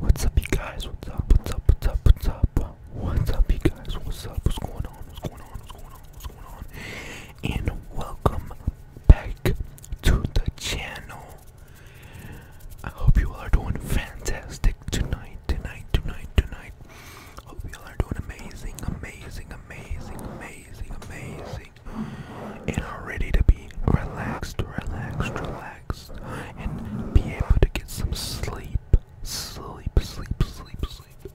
What's up, you guys? What's up? What's up? What's up? What's up? What's up, you guys? What's up? What's going on? What's going on? What's going on? What's going on? And welcome back to the channel. I hope you all are doing fantastic tonight, tonight, tonight, tonight. Hope you all are doing amazing, amazing, amazing, amazing, amazing, and are ready to be relaxed, relaxed, relaxed and be able to get some sleep. Sleep, sleep, sleep, sleep.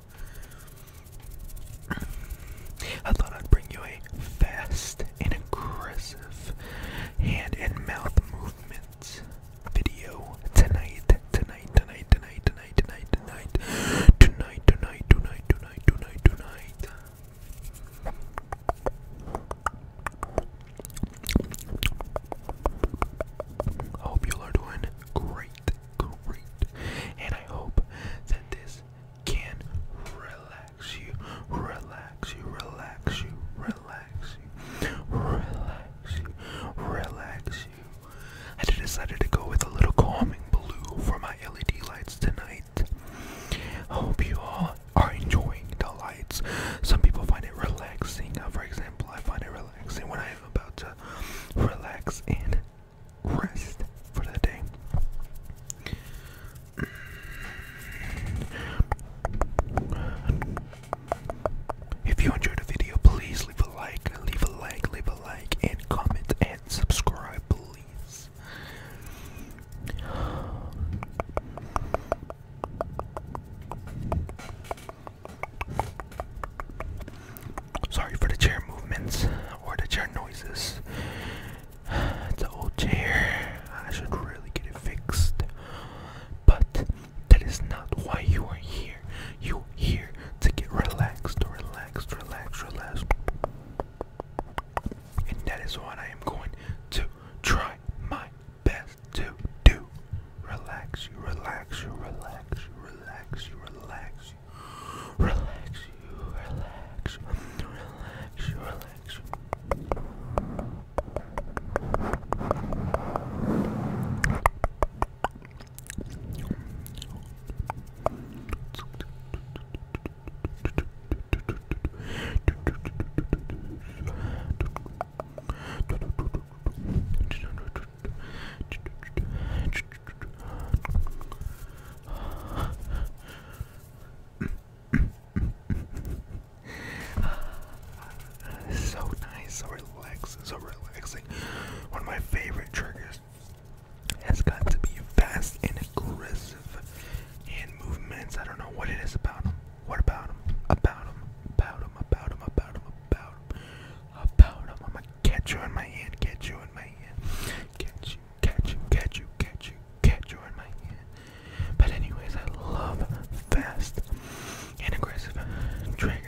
I thought I'd bring you a fast aggressive hand and mouth movement video tonight, tonight, tonight, tonight, tonight, tonight, tonight, tonight, tonight, tonight, tonight. tonight. I hope you all are doing great, great, and I hope that this can relax you, relax you, relax you, relax you, relax you, relax you. I decided to go with a little calming blue for my LED lights tonight. I hope you all are enjoying the lights. Some people find it relaxing. Uh, for example, I find it relaxing when I'm about to relax and rest for the day. If you enjoyed the video, please leave a like, leave a like, leave a like, and comment and subscribe, please. Sorry for the chair movements or the chair noises. It's an old chair. I should really get it fixed. But that is not why you are here. You here to get relaxed, relaxed, relaxed, relaxed. And that is what I am going to try my best to do. Relax you, relax you, relax you, relax you, relax you, relax you, relax you, relax you, relax you. so nice, so relaxing, so relaxing. One of my favorite triggers has got to be fast and aggressive aggressive hand movements. I don't know what it is about him. What about him? About him. About him. About him. About him. About him. About him. I'm gonna catch you in my hand. Catch you in my hand. Catch you. Catch you. Catch you. Catch you. Catch you in my hand. But anyways, I love fast and aggressive triggers.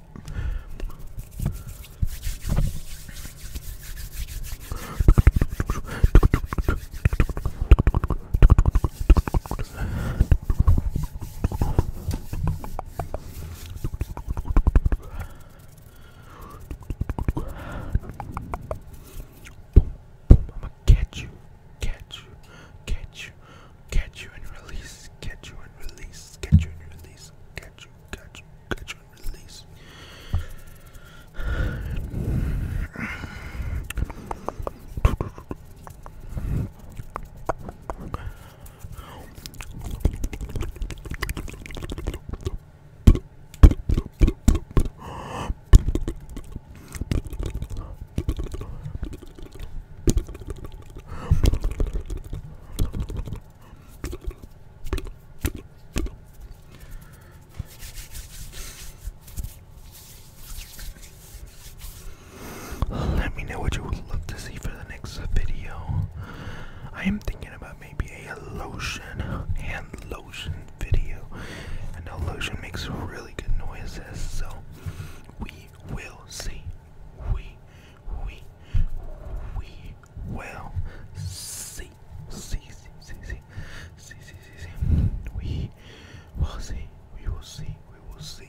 Boom, boom, I'ma catch you, catch you, catch you, catch you and release, catch you and release, catch you and release, catch you, catch you, catch you release. Let me know what you would love to see for the next video. I am thinking about maybe a lotion, hand lotion video. I know lotion makes really good noises, so we will see. We, we, we we will see. We will see. We will see.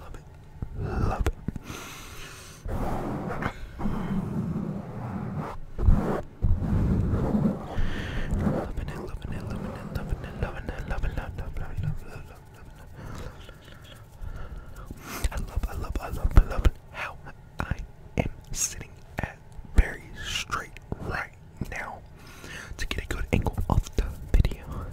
Love it. Love it. Loving it, loving it, loving it, loving it, loving it, loving it, loving it, loving it. I love, I love, I love, I love how I am sitting at very straight right now to get a good angle of the video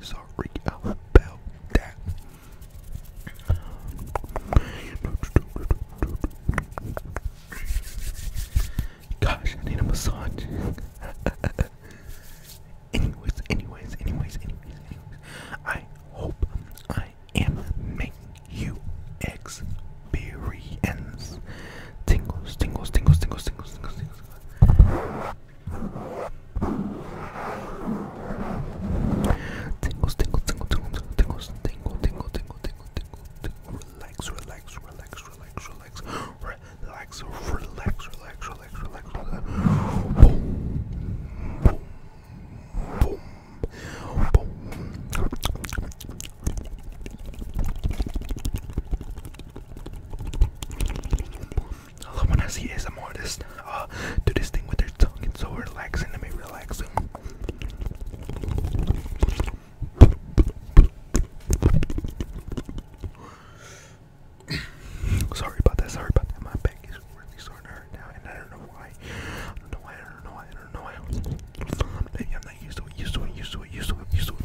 sorry uh, about that. Gosh, I need a massage. anyways, anyways, anyways, anyways, anyways. I hope I am making you experience tingles, tingles, tingles, tingles, tingles, tingles, tingles. tingles. Tingles, tingles, tingles, tingles, tingles, tingle, tingle, tingle, tingle, tingle, tingle. Relax, relax, relax, relax, relax, relax, relax, relax, relax, relax, relax. Boom, boom, boom, boom. I love when I see a modest uh, do this thing with their tongue. It's so relaxing Let me, relax. sorry about that, sorry about that. My back is really starting to hurt now, and I don't know why. I don't know why, I don't know why, I don't know why. I'm not used to it, used to it, used to it, used to it, used to it.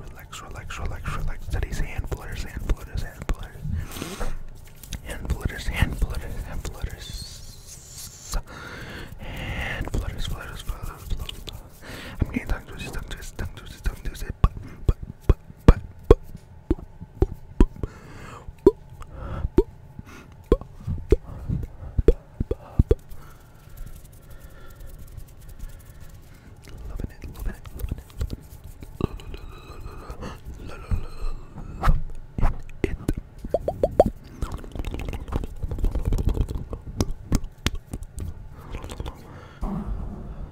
Relax, relax, relax, relax. Today's hand flutters, hand flutters, hand flutters. Hand flutters, hand flutters, hand flutters. Hand flutters, flutters, flutters, flutters. I'm getting tongue twisted, tongue twisted, tongue twisted, tongue twisted, but, but, but, but, but, but, but, but, Loving it, loving it, loving it, loving it, loving it.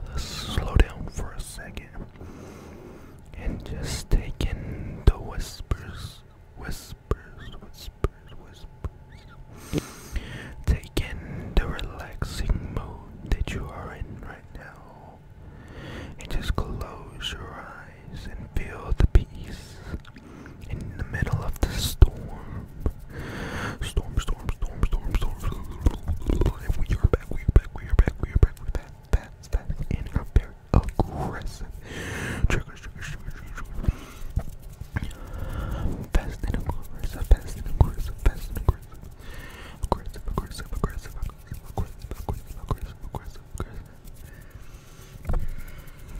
Let's slow down for a second and just take in the whispers, whispers, whispers, whispers. Take in the relaxing mood that you are in right now. And just close your eyes and feel the peace in the middle of the storm. Storm, storm, storm, storm, storm. we are back, we are back, we are back, we are back, we're back, fast, fast, and are very aggressive. Triggers, triggers, triggers, triggers. Fast and aggressive, fast aggressive, fast aggressive, aggressive, aggressive, aggressive, aggressive, aggressive, aggressive, aggressive.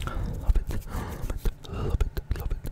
Love it, love it, love it, love it,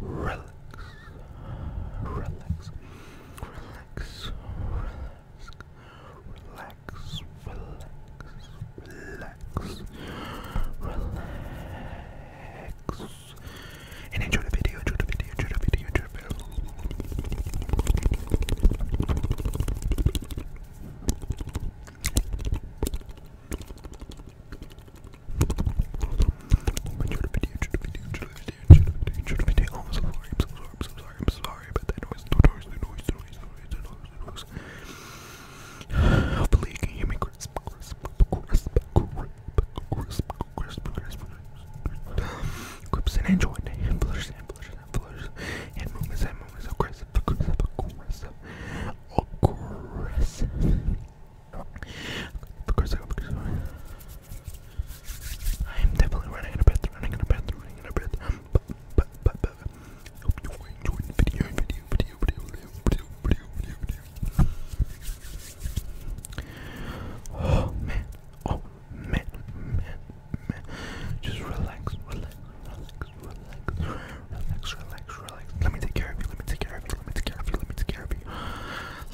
relax, relax, relax, relax, relax, relax, relax, and enjoy the video, enjoy the video, enjoy the video, enjoy the video. I'm so sorry, I'm so sorry, I'm so sorry, I'm so sorry about that noise, the noise, the noise, the noise, the noise, the noise. Hopefully you can hear me crisp, crisp, crisp, crisp, crisp, crisp, crisp, and enjoy the handlers, handlers, handlers, and movements, and movements, aggressive, aggressive, aggressive, aggressive. Because I got because I am definitely running in a bed, running in a bed, running in a bed. But, but, but, but, hope you enjoyed the video, video, video, video, video, video, video, video, Oh man, oh man, man, man. Just relax, relax, relax, relax, relax, relax, relax. Let me take care of you, let me take care of you, let me take care of you, let me take care of you.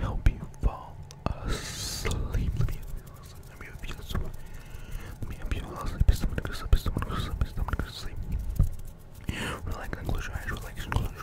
help you fall asleep. Let me help you sleep. Let me help you sleep. Someone go sleep. Someone go sleep. Someone go sleep. Relax and close your eyes. Relax and close your eyes.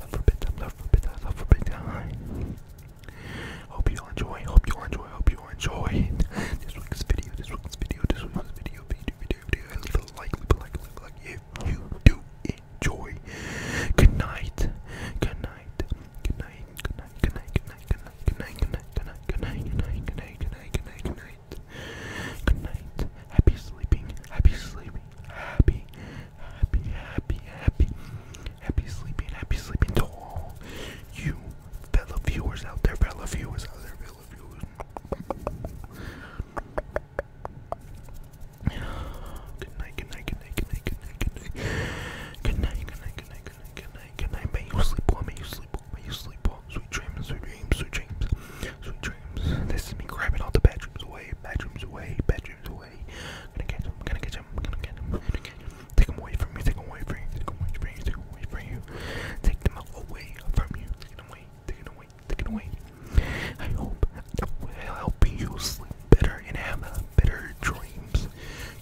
Love for pizza, love for pizza, love for pizza. Hope you enjoy, hope you enjoy, hope you enjoy this week's video, this week's video, this week's video, video, video, video. Leave a like, leave a like, leave a like if you do enjoy. Good night, good night, good night, good night, good night, good night, good night, good night, good night, good night, good night, good night, good night, good night, good night, good night. Happy sleeping, happy sleeping, happy happy, happy, happy, happy sleeping, happy sleeping to all you fellow viewers out there, fellow viewers out there, fellow viewers. Good night, good night, good night, good night, good night, good night. Good night, good night, good night, good night, good night, good you sleep well, may you sleep well, may you sleep well. Sweet dreams, sweet dreams, sweet dreams, sweet dreams. This is me grabbing all the bedrooms away, bedrooms away, bedrooms away. Gonna catch gonna catch gonna catch gonna catch him. away from you, take away from you, take away from you, take away from you. Take them away from you, take away, take away, take away. I hope that will help you sleep better and have uh, better dreams.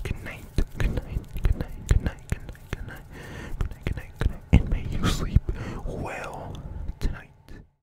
Good night, good night, good night, good night, good night, good night, good night, good night, good night, and may you sleep well tonight.